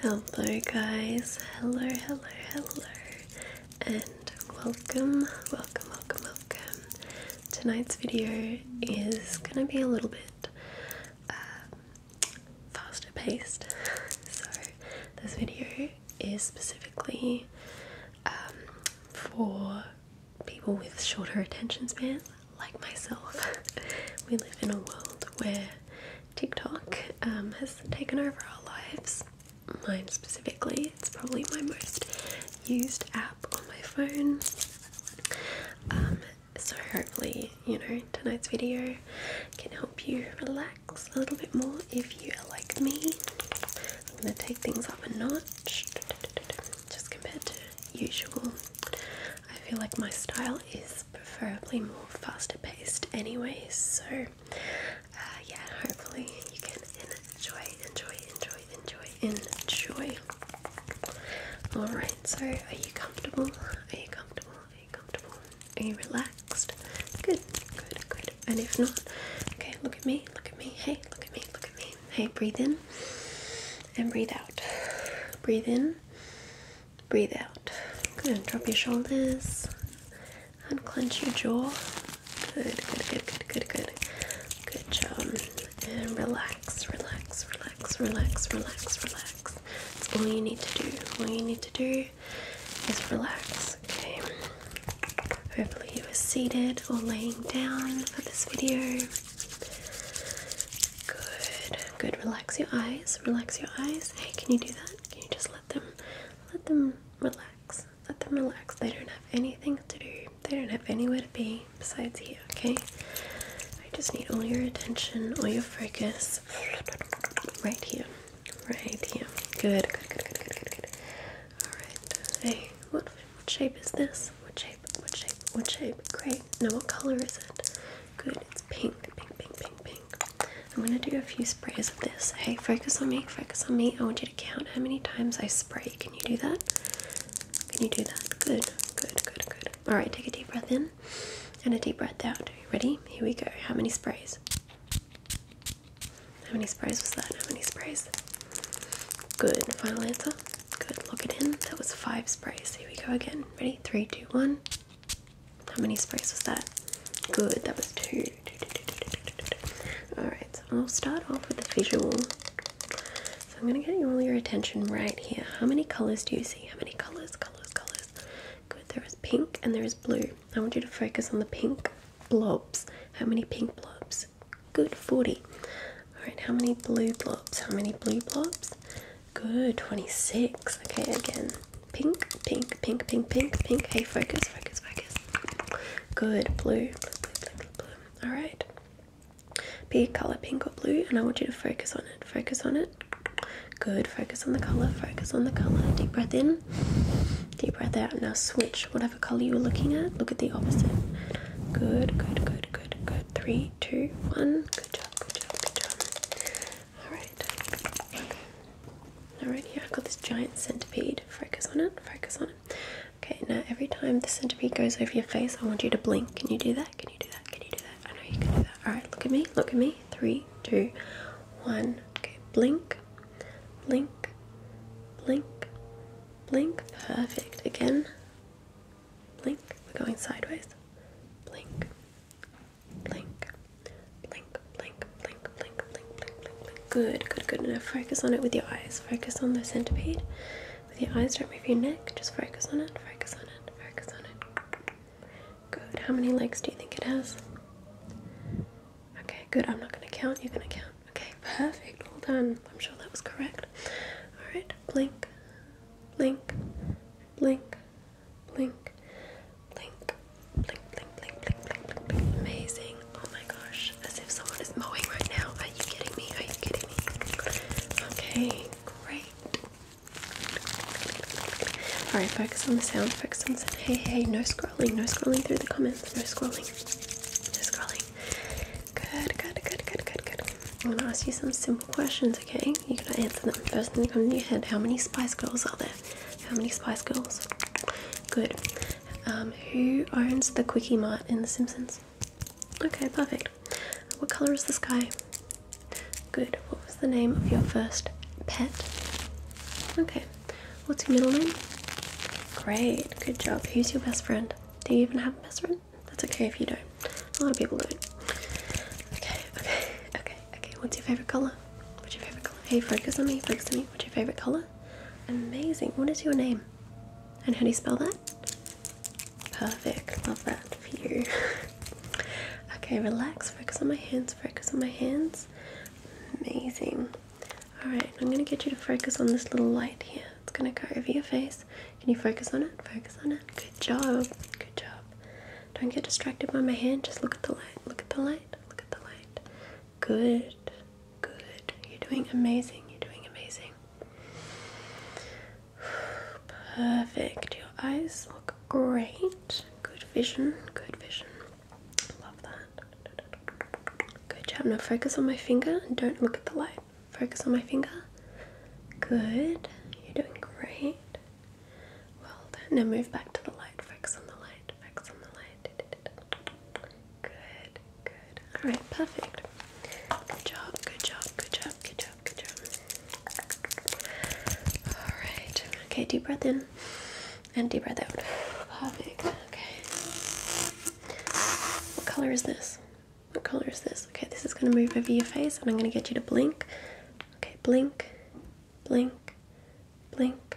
Hello, guys. Hello, hello, hello, and welcome, welcome, welcome, welcome. Tonight's video is gonna be a little bit um, faster paced, so this video is specifically um, for people with shorter attention spans like myself. we live in a world where TikTok um, has taken over our lives. Mine specifically, it's probably my most used app on my phone. Um, so hopefully, you know, tonight's video can help you relax a little bit more if you are like me. I'm going to take things up a notch just compared to usual. I feel like my style is preferably more faster paced, anyways. So, uh, yeah, hopefully you can enjoy, enjoy, enjoy, enjoy, enjoy. Alright, so are you comfortable? Are you comfortable? Are you comfortable? Are you relaxed? Good, good, good. And if not, okay, look at me, look at me. Hey, look at me, look at me. Hey, breathe in and breathe out. Breathe in, breathe out. Good. Drop your shoulders. Unclench your jaw. Good, good, good, good, good, good. Good job. And relax, relax, relax, relax, relax, relax all you need to do. All you need to do is relax, okay? Hopefully, you are seated or laying down for this video. Good, good. Relax your eyes. Relax your eyes. Hey, can you do that? Can you just let them, let them relax? Let them relax. They don't have anything to do. They don't have anywhere to be besides here. Okay. I just need all your attention, all your focus right here. Right here. Good, good, good, good, good, good, Alright. Hey, what what shape is this? What shape? What shape? What shape? Great. Now what color is it? Good, it's pink, pink, pink, pink, pink. I'm gonna do a few sprays of this. Hey, focus on me, focus on me. I want you to count how many times I spray. Can you do that? Can you do that? Good, good, good, good. Alright, take a deep breath in and a deep breath out. Ready? Here we go. How many sprays? How many sprays was that? How many sprays? Good. Final answer. Good. Lock it in. That was five sprays. Here we go again. Ready? Three, two, one. How many sprays was that? Good. That was two. Alright, so I'll start off with the visual so I'm gonna get all your attention right here. How many colors do you see? How many colors, colors, colors? Good, there is pink and there is blue. I want you to focus on the pink blobs. How many pink blobs? Good, 40. Alright, how many blue blobs? How many blue blobs? Good, 26. Okay, again. Pink, pink, pink, pink, pink, pink. Hey, focus, focus, focus. Good, blue, blue, blue. blue. Alright, be a color, pink or blue, and I want you to focus on it. Focus on it. Good. Focus on the color. Focus on the color. Deep breath in. Deep breath out. Now switch whatever color you were looking at. Look at the opposite. Good. Good. Good. Good. Good. Three, two, one. Good job. Good job. Good job. All right. Okay. All right. Here I've got this giant centipede. Focus on it. Focus on it. Okay. Now every time the centipede goes over your face, I want you to blink. Can you do that? Can you do that? Can you do that? I know you can do that. Alright, look at me. Look at me. Three, two, one. Okay, blink, blink, blink, blink. Perfect. Again, blink. We're going sideways. Blink, blink, blink, blink, blink, blink, blink, blink, blink, blink. Good, good, good. Now focus on it with your eyes. Focus on the centipede. With your eyes, don't move your neck. Just focus on it, focus on it, focus on it. Good. How many legs do you think it has? Okay, good. I'm not going to count. You're going to count. Okay, perfect. Well done. I'm sure that was correct. Alright, blink, blink, blink, blink, blink, blink, blink, blink, blink, blink, blink, blink. Amazing. Oh my gosh as if someone is mowing right now. Are you kidding me? Are you kidding me? Okay, great. Alright, focus on the sound, focus on the Hey, hey, no scrolling, no scrolling through the comments, no scrolling, no scrolling. Good, good, good, good, good, good. I'm gonna ask you some simple questions, okay? You gotta answer them. First thing that come to your head, how many Spice Girls are there? How many Spice Girls? Good. Um, who owns the Quickie Mart in The Simpsons? Okay, perfect. What colour is the sky? Good. What was the name of your first pet? Okay. What's your middle name? Great. Good job. Who's your best friend? Do you even have a best friend? That's okay if you don't. A lot of people don't. Okay, okay, okay, okay. What's your favourite colour? What's your favourite colour? Hey, focus on me, focus on me. What's your favourite colour? Amazing. What is your name? And how do you spell that? Perfect. Love that for you. okay, relax. Focus on my hands. Focus on my hands. Amazing. Alright, I'm going to get you to focus on this little light here. It's going to go over your face. Can you focus on it? Focus on it. Good job. Good job. Don't get distracted by my hand. Just look at the light. Look at the light. Look at the light. Good, good. You're doing amazing. You're doing amazing. Perfect. Your eyes look great. Good vision. Good vision. Love that. Good job. Now focus on my finger and don't look at the light. Focus on my finger. Good. You're doing great. Well done. Now move back to the light. Focus on the light. Focus on the light. Good, good. Alright, perfect. Good job, good job, good job, good job, good job. Alright, okay, deep breath in and deep breath out. Perfect, okay. What color is this? What color is this? Okay, this is going to move over your face and I'm going to get you to blink. Okay, blink, blink, blink,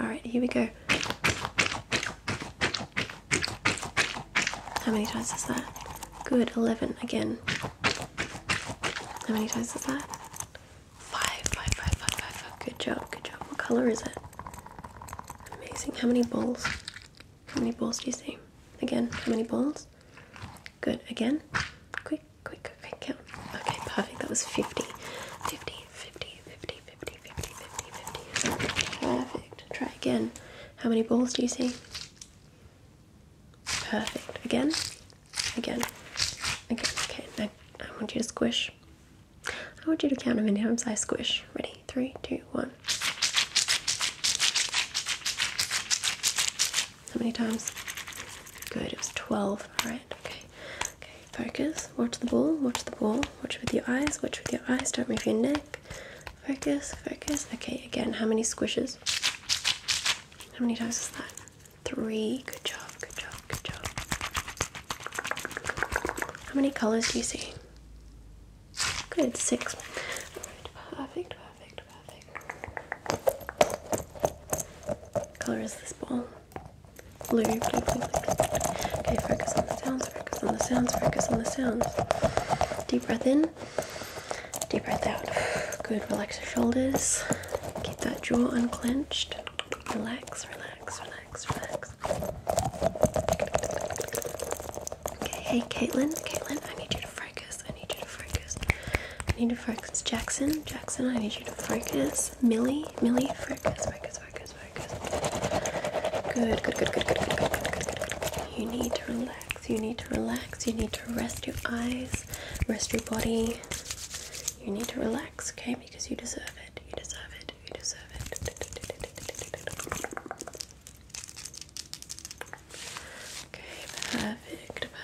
Alright, here we go. How many times is that? Good, 11 again. How many times is that? Five, five, five, five, five, five. Good job, good job. What colour is it? Amazing. How many balls? How many balls do you see? Again, how many balls? Good, again. Quick, quick, quick, quick count. Okay, perfect. That was 50. 50, 50, 50, 50, Perfect. Try again. How many balls do you see? Perfect. Again, again, again. Okay, I want you to squish. I want you to count how many times I squish. Ready? Three, two, one. How many times? Good, it was 12. Alright, okay. Okay, focus. Watch the ball. Watch the ball. Watch with your eyes. Watch with your eyes. Don't move your neck. Focus. Focus. Okay, again. How many squishes? How many times is that? Three. Good job. Good job. Good job. How many colors do you see? Good. Six. Perfect. Perfect. Perfect. What color is this ball? Okay, focus on the sounds, focus on the sounds, focus on the sounds. Deep breath in, deep breath out. Good, relax your shoulders. Keep that jaw unclenched. Relax, relax, relax, relax. Okay, hey Caitlin, Caitlin, I need you to focus. I need you to focus. I need to focus. Jackson, Jackson, I need you to focus. Millie, Millie, Millie, focus, focus, focus, focus. Good, good, good, good, good, good, good, good, good, good. You need to relax, you need to relax, you need to rest your eyes, rest your body. You need to relax, okay? Because you deserve it, you deserve it, you deserve it. Okay, perfect,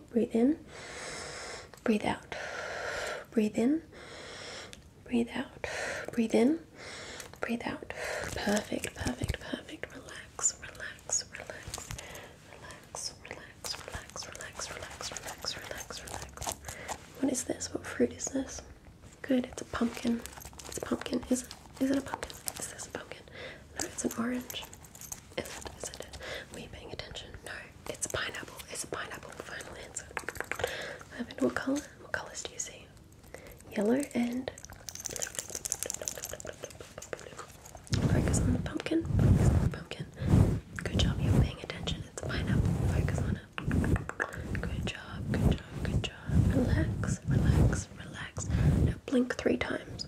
Okay, breathe in, breathe out, breathe in, breathe out, breathe in, breathe out. Perfect, perfect, perfect. Relax, relax, relax, relax, relax, relax, relax, relax, relax, relax, relax. What is this? What fruit is this? Good, it's a pumpkin. It's a pumpkin. Is it? Is it a pumpkin? Is this a pumpkin? No, it's an orange. Is it? Is it? Were you paying attention? No. It's a pineapple. It's a pineapple. Final answer. I Perfect. What color? What colors do you see? Yellow and focus on the pumpkin. the pumpkin. Good job. You're paying attention. It's a pineapple. Focus on it. Good job. Good job. Good job. Relax. Relax. Relax. Now blink three times.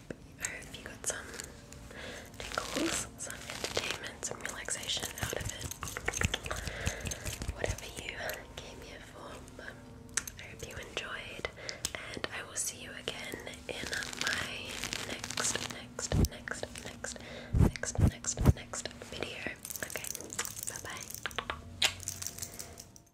hope I hope you got some tingles, some entertainment, some relaxation out of it. Whatever you came here for. I hope you enjoyed and I will see you again in my next, next, next, next, next, next, next video. Okay, bye bye.